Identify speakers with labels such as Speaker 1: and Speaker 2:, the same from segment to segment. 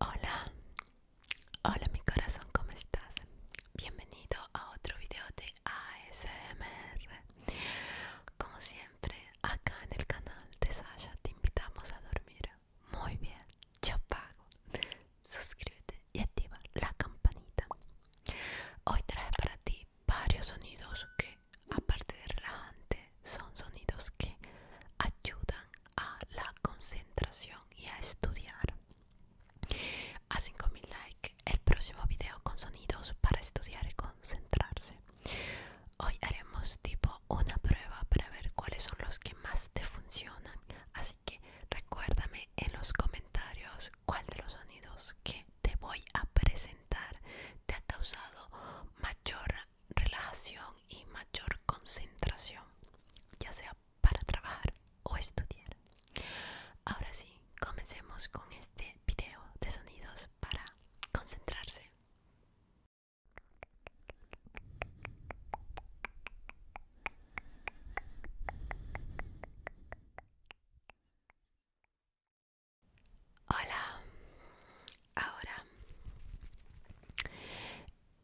Speaker 1: Hola, hola mi corazón, ¿cómo estás? Bienvenido a otro video de ASMR. Como siempre, acá en el canal de Sasha te invitamos a dormir muy bien. Yo pago. Suscríbete y activa la campanita. Hoy trae para ti varios sonidos que, aparte de relajante, son sonidos que ayudan a la concentración y a estudiar. A 5000 likes el próximo video con sonidos para estudiar y concentrarse. Hoy haremos tipo una prueba para ver cuáles son los que más te funcionan. Así que recuérdame en los comentarios cuál de los sonidos que te voy a presentar te ha causado mayor relajación y mayor concentración, ya sea para trabajar o estudiar. Ahora sí, comencemos con este video de sonidos para concentrarse. Hola, Ahora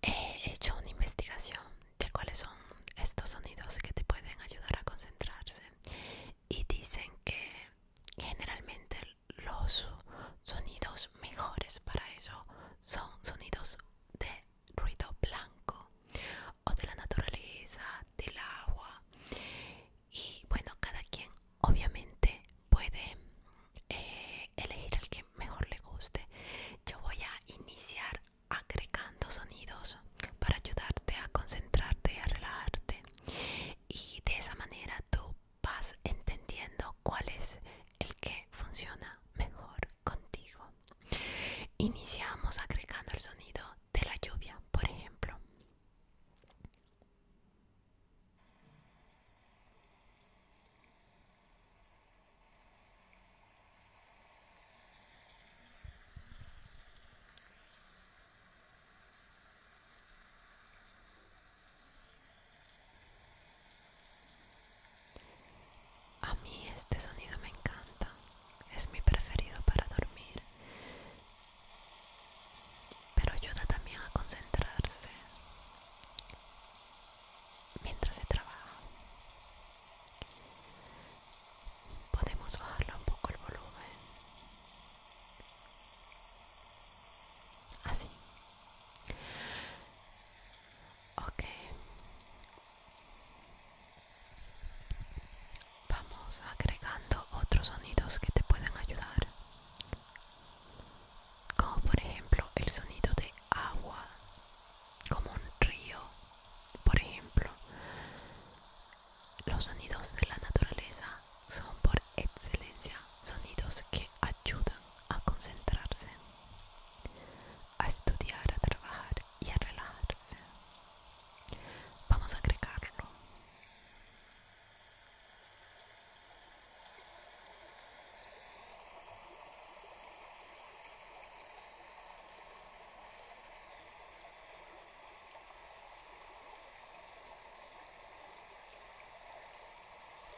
Speaker 1: he hecho una investigación de cuáles son estos sonidos que te pueden ayudar a concentrarse y dicen que generalmente los sonidos mejores para eso son sonidos de ruido blanco o de la naturaleza, del agua y bueno, cada quien obviamente puede eh, elegir el que mejor le guste. Yo voy a iniciar agregando sonidos para ayudarte a concentrarte, a relajarte y de esa manera tú vas entendiendo cuál es el que funciona mejor contigo. Iniciamos agregando el sonido de la lluvia, por ejemplo. A mí este sonido me encanta, es mi preferido para dormir, pero ayuda también a concentrarse mientras se trabaja. Podemos bajar un poco el volumen. Así. Ok. Vamos agregando otros sonidos que te pueden ayudar como por ejemplo el sonido de agua, como un río, por ejemplo. Los sonidos de la naturaleza son por excelencia sonidos que ayudan a concentrarse, a estudiar, a trabajar y a relajarse. Vamos a agregarlo.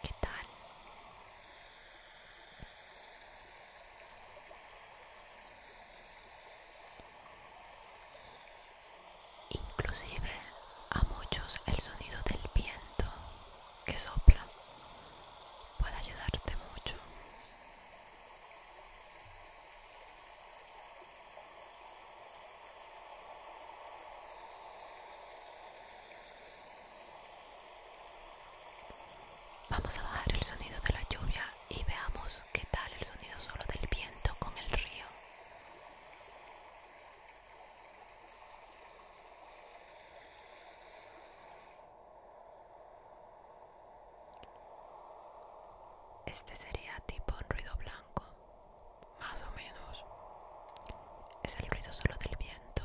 Speaker 1: ¿Qué tal? Inclusive a muchos el sonido del viento que sopla puede ayudarte mucho. Vamos a bajar el sonido de la lluvia y veamos qué tal el sonido solo del viento con el río. Este sería tipo un ruido blanco, más o menos. Es el ruido solo del viento.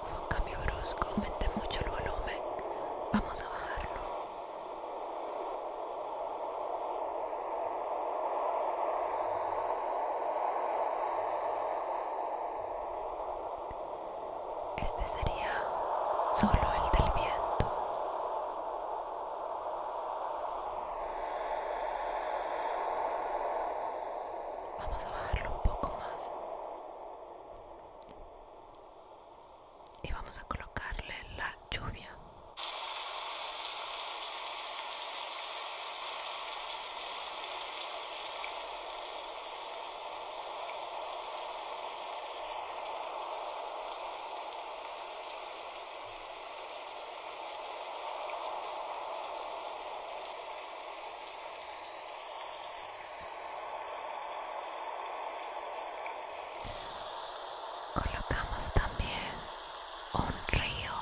Speaker 1: Fue un cambio brusco, aumenté mucho el volumen. Vamos a bajarlo. Este sería solo el del viento. Vamos a bajarlo un poco más. Y vamos a colocarle la lluvia. Colocamos también un río.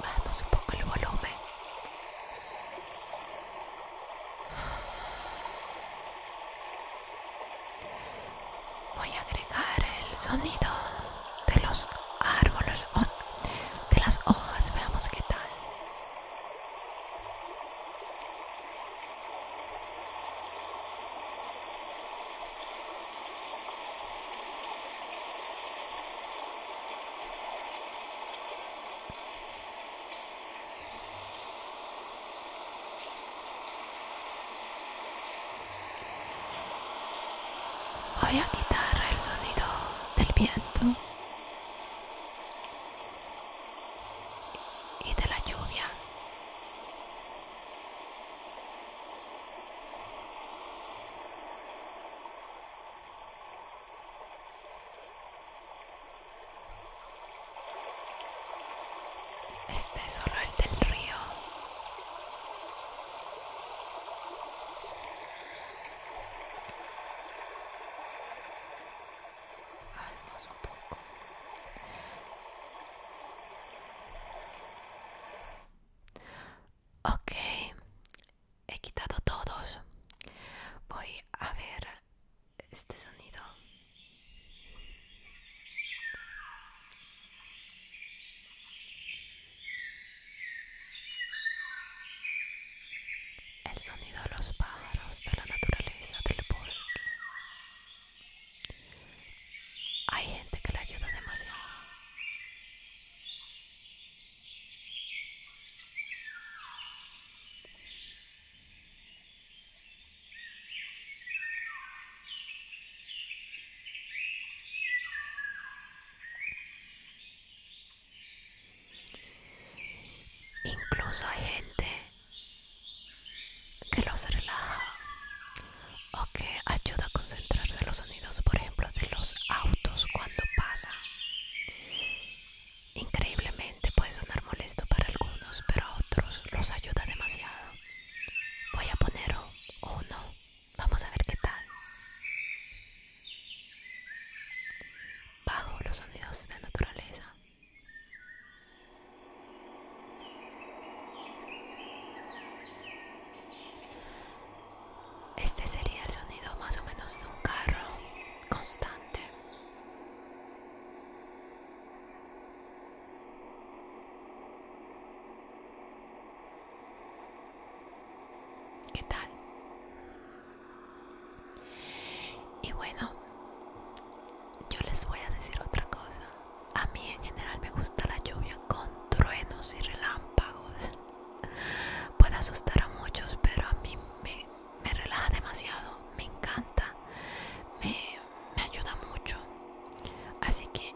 Speaker 1: Bajemos un poco el volumen. Voy a agregar el sonido de los árboles de las hojas, veamos qué tal. Voy a quitar el sonido del viento y de la lluvia. Este es solo el del río. más un poco. Ok, he quitado todos. Voy a ver este sonido. El sonido de los pájaros, de la naturaleza, del bosque. Hay gente que le ayuda demasiado. Incluso hay gente que los relaja o que ayuda a concentrarse los sonidos, por ejemplo, de los autos cuando pasan. Increíblemente puede sonar molesto para algunos, pero a otros los ayuda demasiado. Voy a poner uno. Vamos a ver qué tal. Bajo los sonidos de naturaleza. Este sería el sonido más o menos de un carro constante. ¿Qué tal? Y bueno, yo les voy a decir otra cosa. A mí en general me gusta la lluvia con truenos y relámpagos. Puede asustar a muchos, pero a mí me, me relaja demasiado. Me encanta. Me, me ayuda mucho así que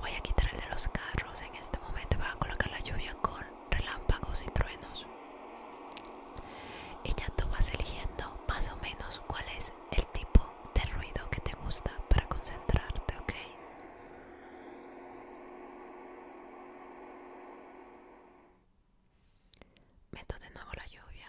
Speaker 1: voy a quitar el de los carros en este momento voy a colocar la lluvia con relámpagos y truenos y ya tú vas eligiendo más o menos cuál es el tipo de ruido que te gusta para concentrarte ok meto de nuevo la lluvia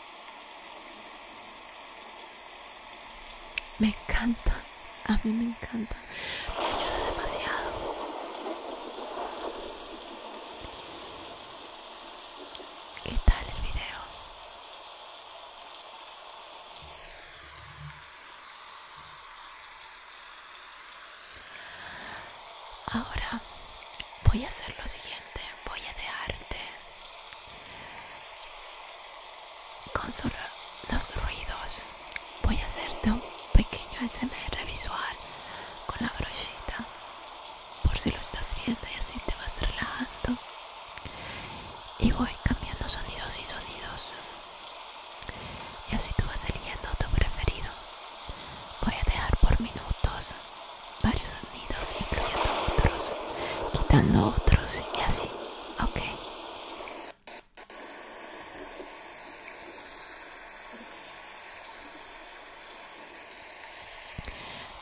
Speaker 1: Me encanta, a mí me encanta. Me ayuda demasiado. ¿Qué tal el video? Ahora voy a hacer lo siguiente, voy a dejarte con solo los ruidos, voy a hacerte un pequeño SMR visual con la brochita, por si lo estás viendo y así te vas relajando. Y voy cambiando sonidos y sonidos. Y así tú vas eligiendo tu preferido. Voy a dejar por minutos varios sonidos incluyendo otros quitando otros y así ok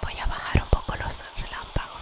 Speaker 1: voy a bajar un poco los relámpagos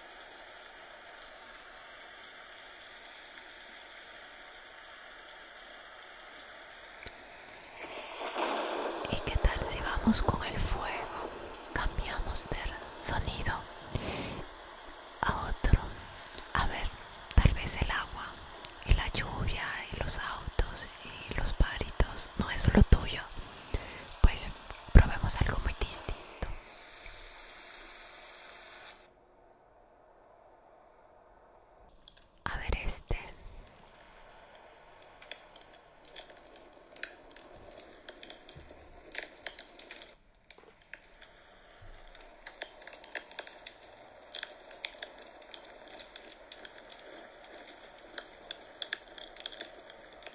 Speaker 1: ¿Y qué tal si vamos con el fuego? Cambiamos del sonido a otro. A ver, tal vez el agua y la lluvia y los autos y los paritos no es lo tuyo. Pues probemos algo muy distinto. A ver este.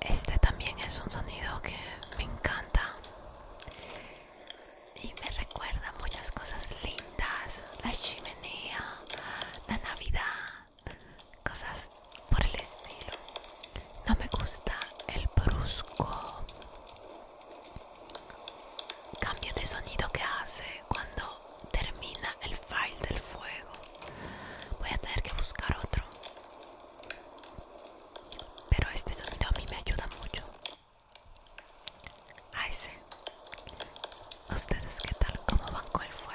Speaker 1: Este también es un sonido que me encanta y me recuerda muchas cosas lindas, la chimenea, la Navidad, cosas por el estilo. No me gusta el brusco cambio de sonido que hace cuando termina el file del fuego voy a tener que buscar otro pero este sonido a mí me ayuda mucho ay ah, ese ustedes qué tal como van con el fuego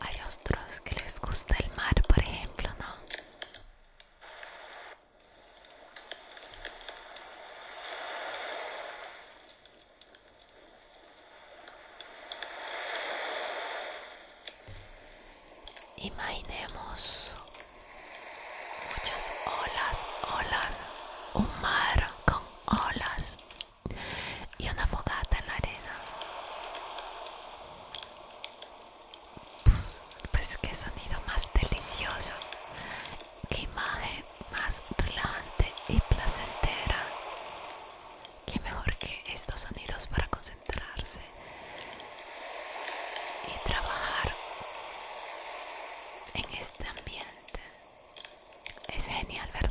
Speaker 1: hay otros que les gusta el mar, por ejemplo, ¿no? Imaginemos muchas olas, olas, un mar con olas y una fogata en la arena. Pues qué sonido más delicioso, qué imagen más relajante y placentera. Qué mejor que estos sonidos para concentrarse y trabajar en este ambiente es genial, ¿verdad?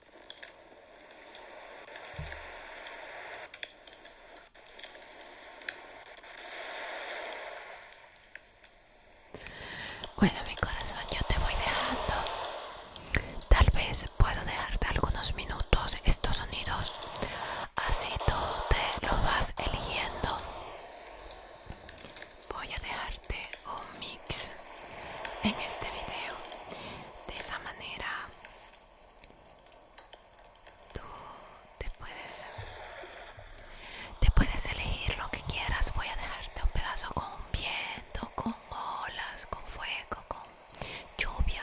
Speaker 1: Bueno, mi corazón, yo te voy dejando. Tal vez puedo dejarte algunos minutos estos sonidos. Así tú te lo vas eligiendo. Voy a dejarte un mix en este video. De esa manera tú te puedes, elegir lo que quieras. Voy a dejarte un pedazo con viento, con olas, con fuego, con lluvia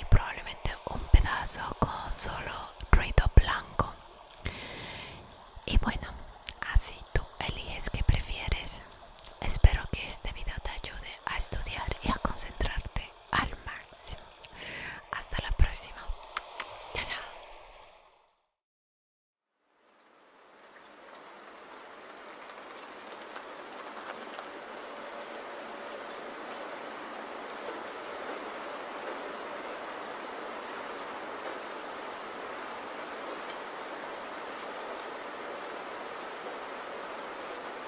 Speaker 1: y probablemente un pedazo con solo ruido blanco. Y bueno, así tú eliges que prefieres. Espero que este video te ayude a estudiar y a concentrarte al máximo. Hasta la próxima. Chao, chao.